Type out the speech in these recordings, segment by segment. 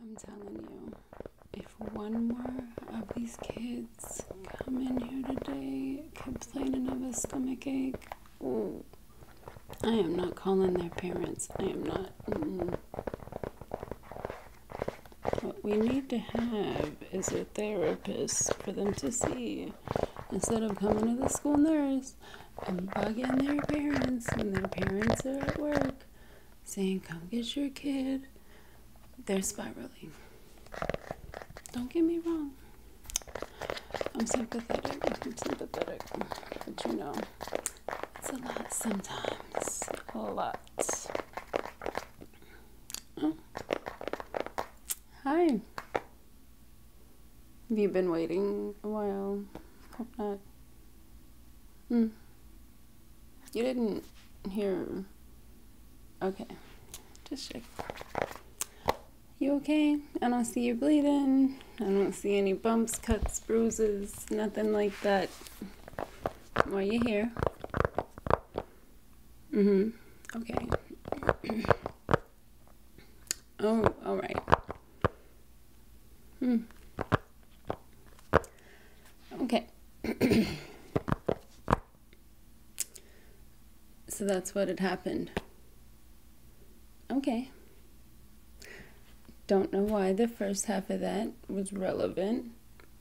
I'm telling you, if one more of these kids come in here today complaining of a stomach ache, I am not calling their parents. I am not. What we need to have is a therapist for them to see instead of coming to the school nurse and bugging their parents when their parents are at work saying, Come get your kid, they're spiraling. Don't get me wrong. I'm sympathetic. I'm sympathetic. But you know, it's a lot sometimes. A lot. Oh. Hi. Have you been waiting a while? Hope not. Hmm. You didn't hear. Okay. Just check. You okay? I don't see you bleeding. I don't see any bumps, cuts, bruises, nothing like that. While you here. Mm hmm. Okay. oh, alright. Hmm. Okay. so that's what had happened. Okay. Don't know why the first half of that was relevant,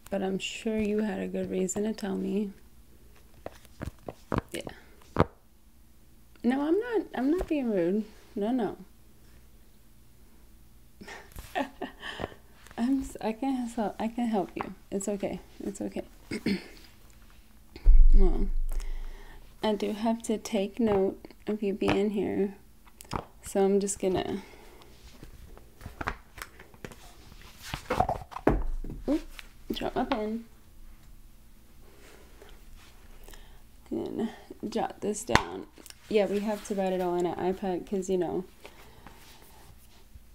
but I'm sure you had a good reason to tell me. Yeah. No, I'm not I'm not being rude. No, no. I'm I can't help I can't help you. It's okay. It's okay. well, I do have to take note of you being here, so I'm just gonna. drop my pen. and jot this down yeah, we have to write it all on an iPad because, you know,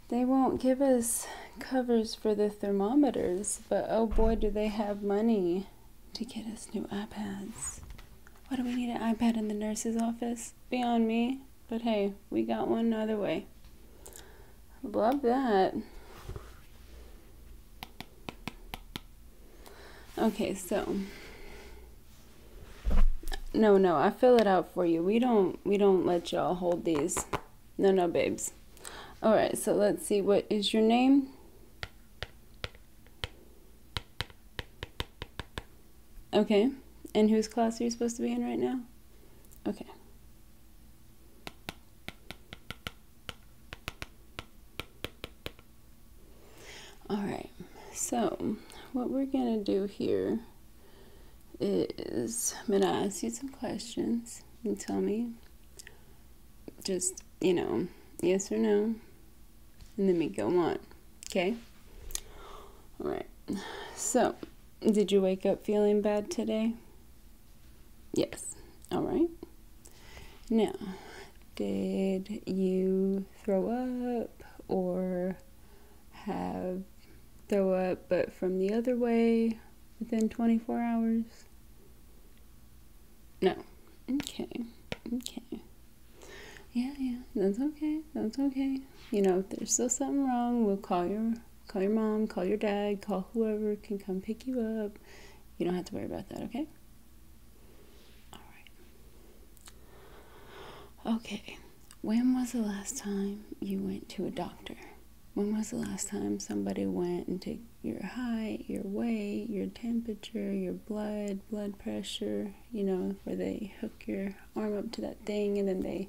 they won't give us covers for the thermometers, but oh boy, do they have money to get us new iPads. Why do we need an iPad in the nurse's office? Beyond me. But hey, we got one other way. Love that. Okay, so no, no, I fill it out for you. We don't we don't let y'all hold these. No, no, babes. All right, so let's see what is your name? Okay. And whose class are you supposed to be in right now? Okay. All right, so what we're gonna do here is I'm gonna ask you some questions and tell me just, you know, yes or no, and then we go on, okay? All right, so did you wake up feeling bad today? Yes, all right. Now, did you throw up? or have throw up but from the other way within 24 hours? No. Okay. Okay. Yeah, yeah. That's okay. That's okay. You know, if there's still something wrong, we'll call your call your mom, call your dad, call whoever can come pick you up. You don't have to worry about that, okay? Okay. When was the last time you went to a doctor? When was the last time somebody went and took your height, your weight, your temperature, your blood, blood pressure, you know, where they hook your arm up to that thing and then they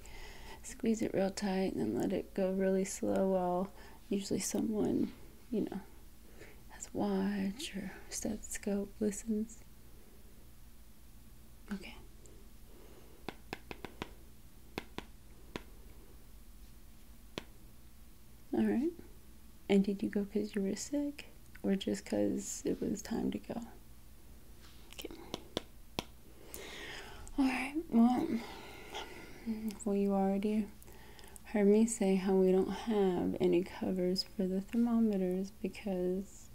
squeeze it real tight and then let it go really slow while usually someone, you know, has a watch or stethoscope listens. Okay. All right. And did you go because you were sick or just because it was time to go? Okay. All right. Well, well, you already heard me say how we don't have any covers for the thermometers because,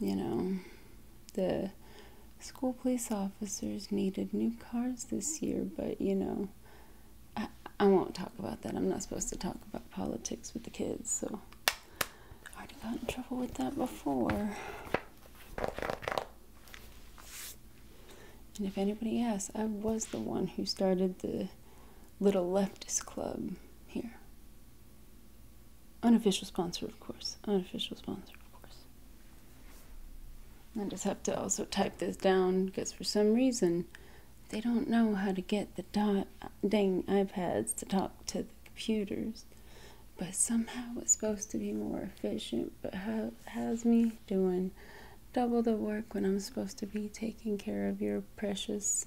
you know, the school police officers needed new cars this year, but, you know, I, I won't talk about that. I'm not supposed to talk about politics with the kids, so I already got in trouble with that before. And if anybody asks, I was the one who started the little leftist club here. Unofficial sponsor, of course. Unofficial sponsor, of course. I just have to also type this down because for some reason they don't know how to get the dang iPads to talk to the computers. But somehow it's supposed to be more efficient. But how, how's me doing double the work when I'm supposed to be taking care of your precious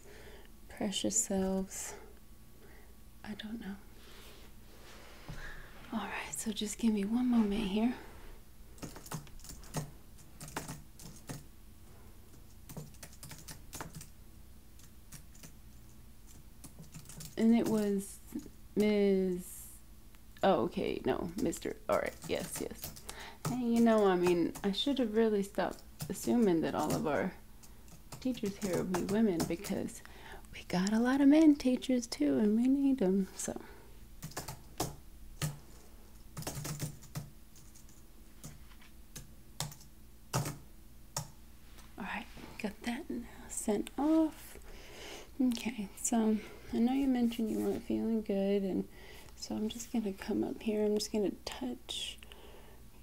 precious selves. I don't know. All right, so just give me one moment here. And it was Ms. Oh, okay, no, Mr. All right, yes, yes you know, I mean, I should have really stopped assuming that all of our teachers here will be women because we got a lot of men teachers too and we need them. So. Alright, got that sent off. Okay, so I know you mentioned you weren't feeling good and so I'm just going to come up here. I'm just going to touch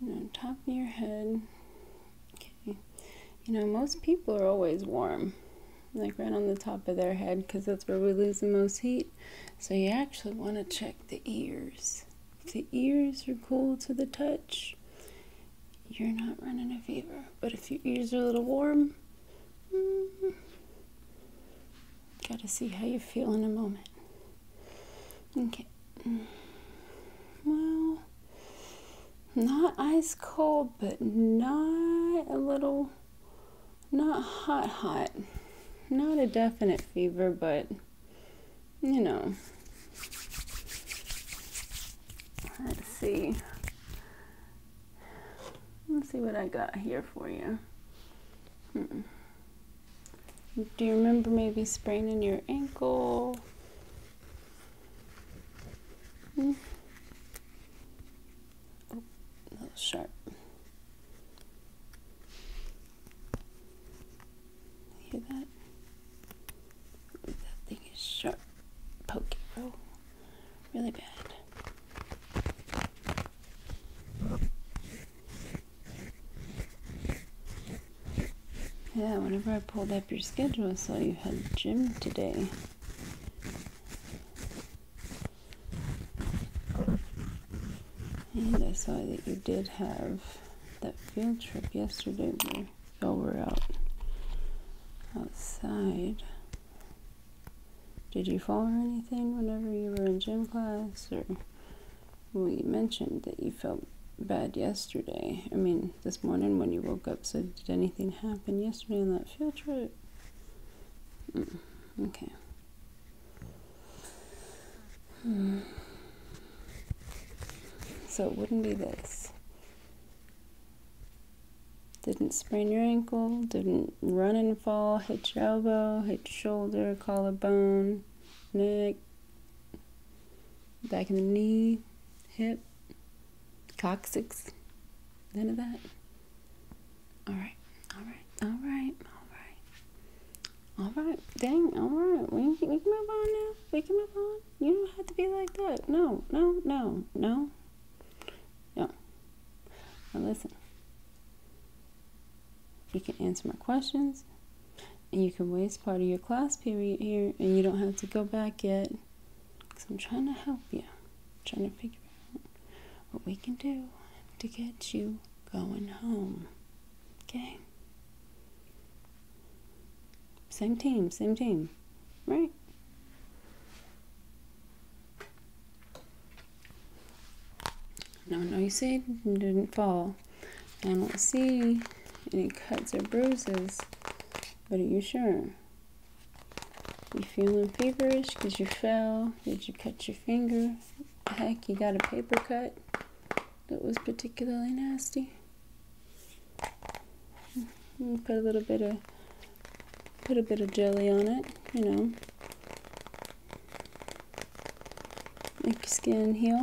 you know, top of your head. Okay. You know, most people are always warm, like right on the top of their head, because that's where we lose the most heat. So you actually want to check the ears. If the ears are cool to the touch, you're not running a fever. But if your ears are a little warm, mm-hmm. Got to see how you feel in a moment. Okay. Well, not ice cold, but not a little, not hot, hot. Not a definite fever, but you know. Let's see. Let's see what I got here for you. Hmm. Do you remember maybe spraining your ankle? Hmm? Oh, that sharp. Hear that? That thing is sharp. Poke oh, Really bad. Yeah, whenever I pulled up your schedule, I saw you had gym today. And I saw that you did have that field trip yesterday So we're out outside. Did you fall or anything whenever you were in gym class or we mentioned that you felt bad yesterday. I mean, this morning when you woke up, so did anything happen yesterday on that field trip? Mm, okay. Hmm. So it wouldn't be this. Didn't sprain your ankle, didn't run and fall, hit your elbow, hit your shoulder, collarbone, neck, back in the knee, hip, coccyx, none of that. All right, all right, all right, all right, all right. Dang, all right. We can, we can move on now. We can move on. You don't have to be like that. No, no, no, no, no. Now listen. You can answer my questions. And you can waste part of your class period here and you don't have to go back yet. Because I'm trying to help you. trying to figure out what we can do to get you going home. Okay? Same team, same team. Right? No, no, you said didn't fall. I don't see any cuts or bruises, but are you sure? You feeling feverish because you fell? Did you cut your finger? Heck, you got a paper cut that was particularly nasty. Hmm, put a little bit of put a bit of jelly on it, you know, Make your skin heal.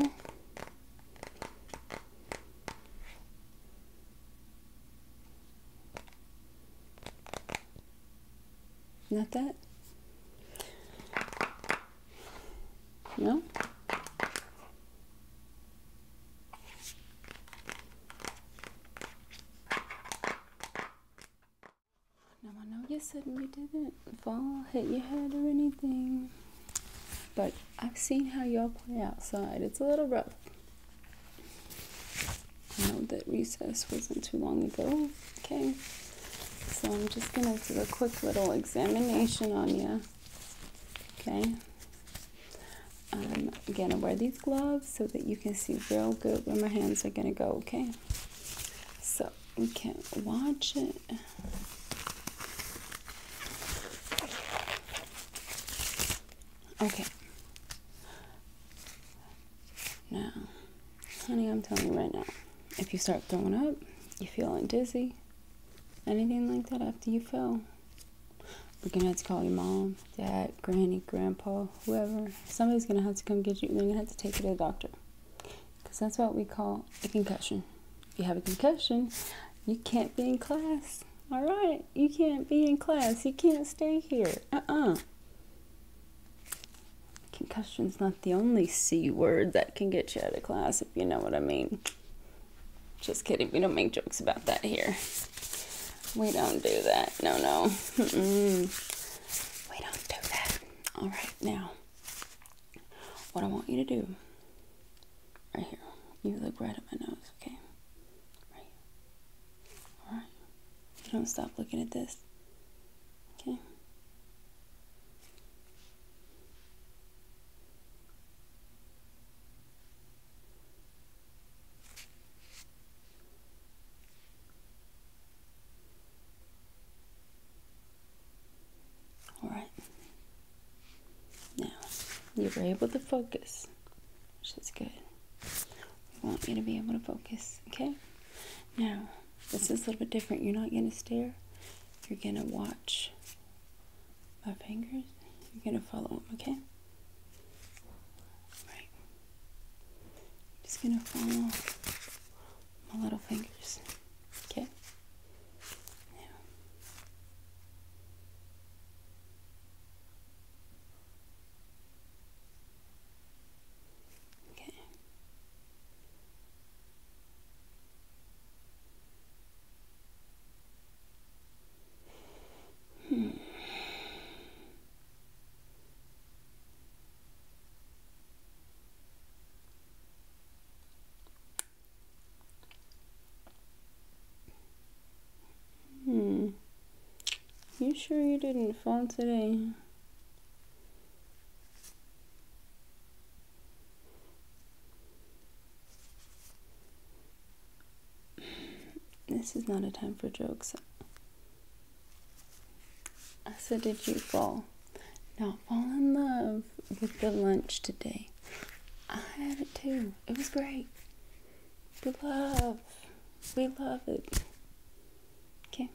Not that? No? No, no, you said you didn't fall, hit your head, or anything. But I've seen how y'all play outside. It's a little rough. I know that recess wasn't too long ago. Okay. So I'm just going to do a quick little examination on you. Okay. I'm um, going to wear these gloves so that you can see real good where my hands are going to go. Okay. So we can't watch it. Okay. Now, honey, I'm telling you right now, if you start throwing up, you feeling dizzy, anything like that after you fell, we're gonna have to call your mom, dad, granny, grandpa, whoever. Somebody's gonna have to come get you. They're gonna have to take you to the doctor because that's what we call a concussion. If you have a concussion, you can't be in class. All right, you can't be in class. You can't stay here. Uh uh Concussion's not the only C word that can get you out of class, if you know what I mean. Just kidding, we don't make jokes about that here. We don't do that. No, no. we don't do that. All right, now what I want you to do, right here, you look right at my nose, okay? Right. Alright. don't stop looking at this, okay? All right. Now, you were able to focus, which is good. We want you to be able to focus, okay? Now, this is a little bit different. You're not going to stare. You're going to watch my fingers. You're going to follow them, okay? All right. Just going to follow my little fingers. Okay? Yeah. Okay. Hmm. Hmm. You sure you didn't fall today? This is not a time for jokes. I said, did you fall? people not fall in love with the lunch today. I had it too. It was great. We love. We love it. Okay.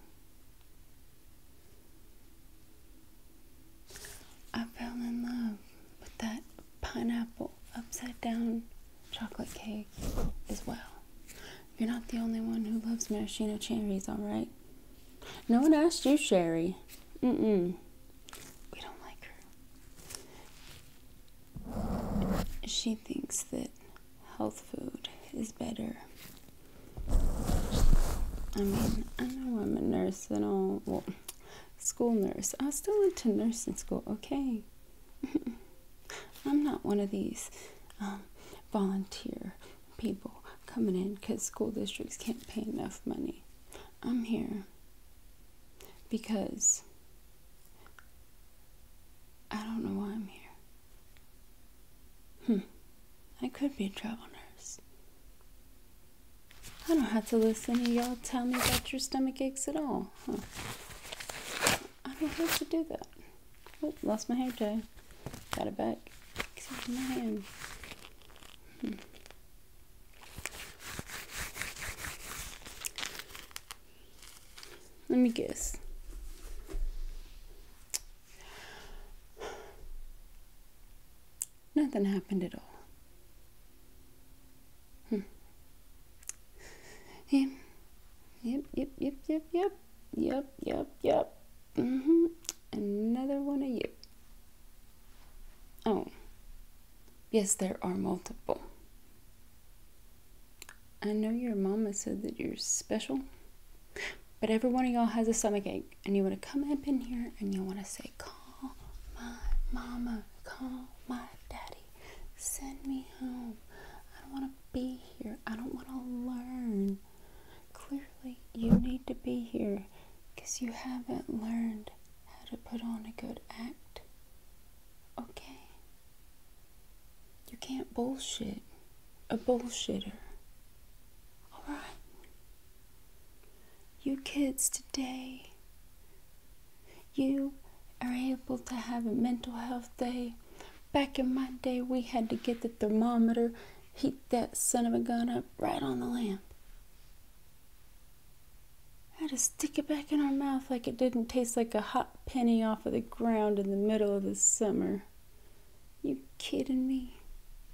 I fell in love with that pineapple upside down chocolate cake as well. You're not the only one who loves maraschino cherries, alright? No one asked you, Sherry. Mm Hmm. We don't like her. She thinks that health food is better. I mean, I know I'm a nurse and all. Well, school nurse. I still went to nurse in school, okay? I'm not one of these um, volunteer people coming in because school districts can't pay enough money. I'm here because I don't know why I'm here. Hmm. I could be a travel nurse. I don't have to listen to y'all tell me about your stomach aches at all. Huh. I don't have to do that. Oh, lost my hair tie. Got it back. Except my hand. Hmm. Let me guess. Nothing happened at all. Hmm. Yep, yep, yep, yep, yep, yep, yep, yep. Mm hmm. Another one of you. Oh. Yes, there are multiple. I know your mama said that you're special, but every one of y'all has a stomach ache, and you want to come up in here and you want to say, Call my mama, call my daddy, send me home. I don't want to be here. I don't want to learn. Clearly, you need to be here because you haven't learned how to put on a good act. Okay? You can't bullshit a bullshitter. Alright? You kids today, you are able to have a mental health day. Back in my day, we had to get the thermometer heat that son of a gun up right on the lamp. I had to stick it back in our mouth like it didn't taste like a hot penny off of the ground in the middle of the summer. You kidding me?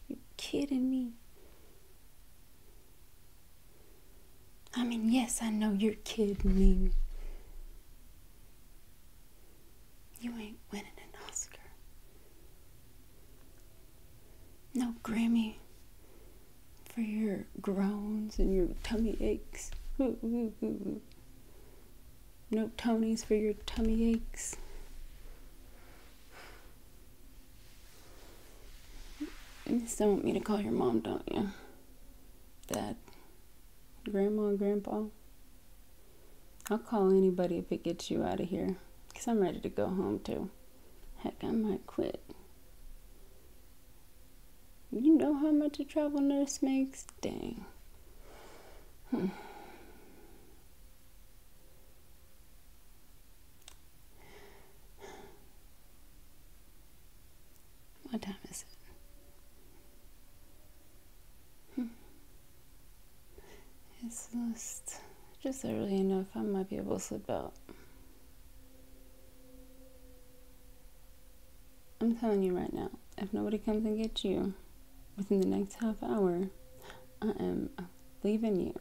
You kidding me? I mean, yes, I know you're kidding me. You ain't winning an Oscar. No Grammy for your groans and your tummy aches. No Tonys for your tummy aches. You still want me to call your mom, don't you? Dad, Grandma, Grandpa. I'll call anybody if it gets you out of here, I'm ready to go home, too. Heck, I might quit. You know how much a travel nurse makes? Dang. Hmm. What time is it? Hmm. It's just, just early enough. I might be able to slip out. I'm telling you right now, if nobody comes and gets you within the next half hour, I am leaving you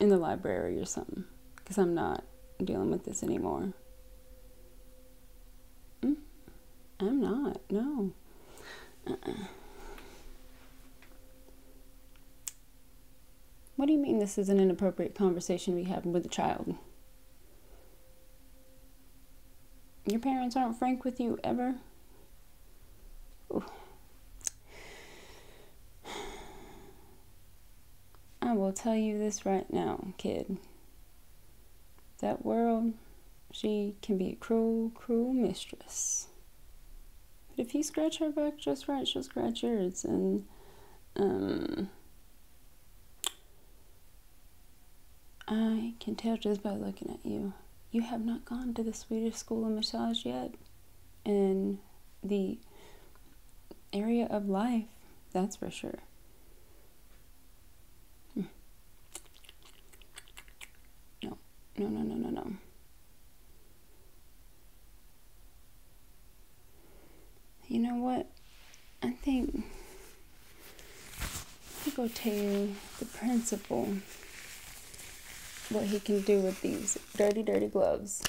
in the library or something because I'm not dealing with this anymore. Mm, I'm not, no. Uh-uh. What do you mean this isn't an appropriate conversation we have with a child? Your parents aren't frank with you ever? I will tell you this right now, kid. That world, she can be a cruel, cruel mistress. But if you scratch her back just right, she'll scratch yours. And um, I can tell just by looking at you, you have not gone to the Swedish School of Massage yet. in the area of life, that's for sure. Hmm. No, no, no, no, no, no. You know what? I think I go tell the principal what he can do with these dirty, dirty gloves.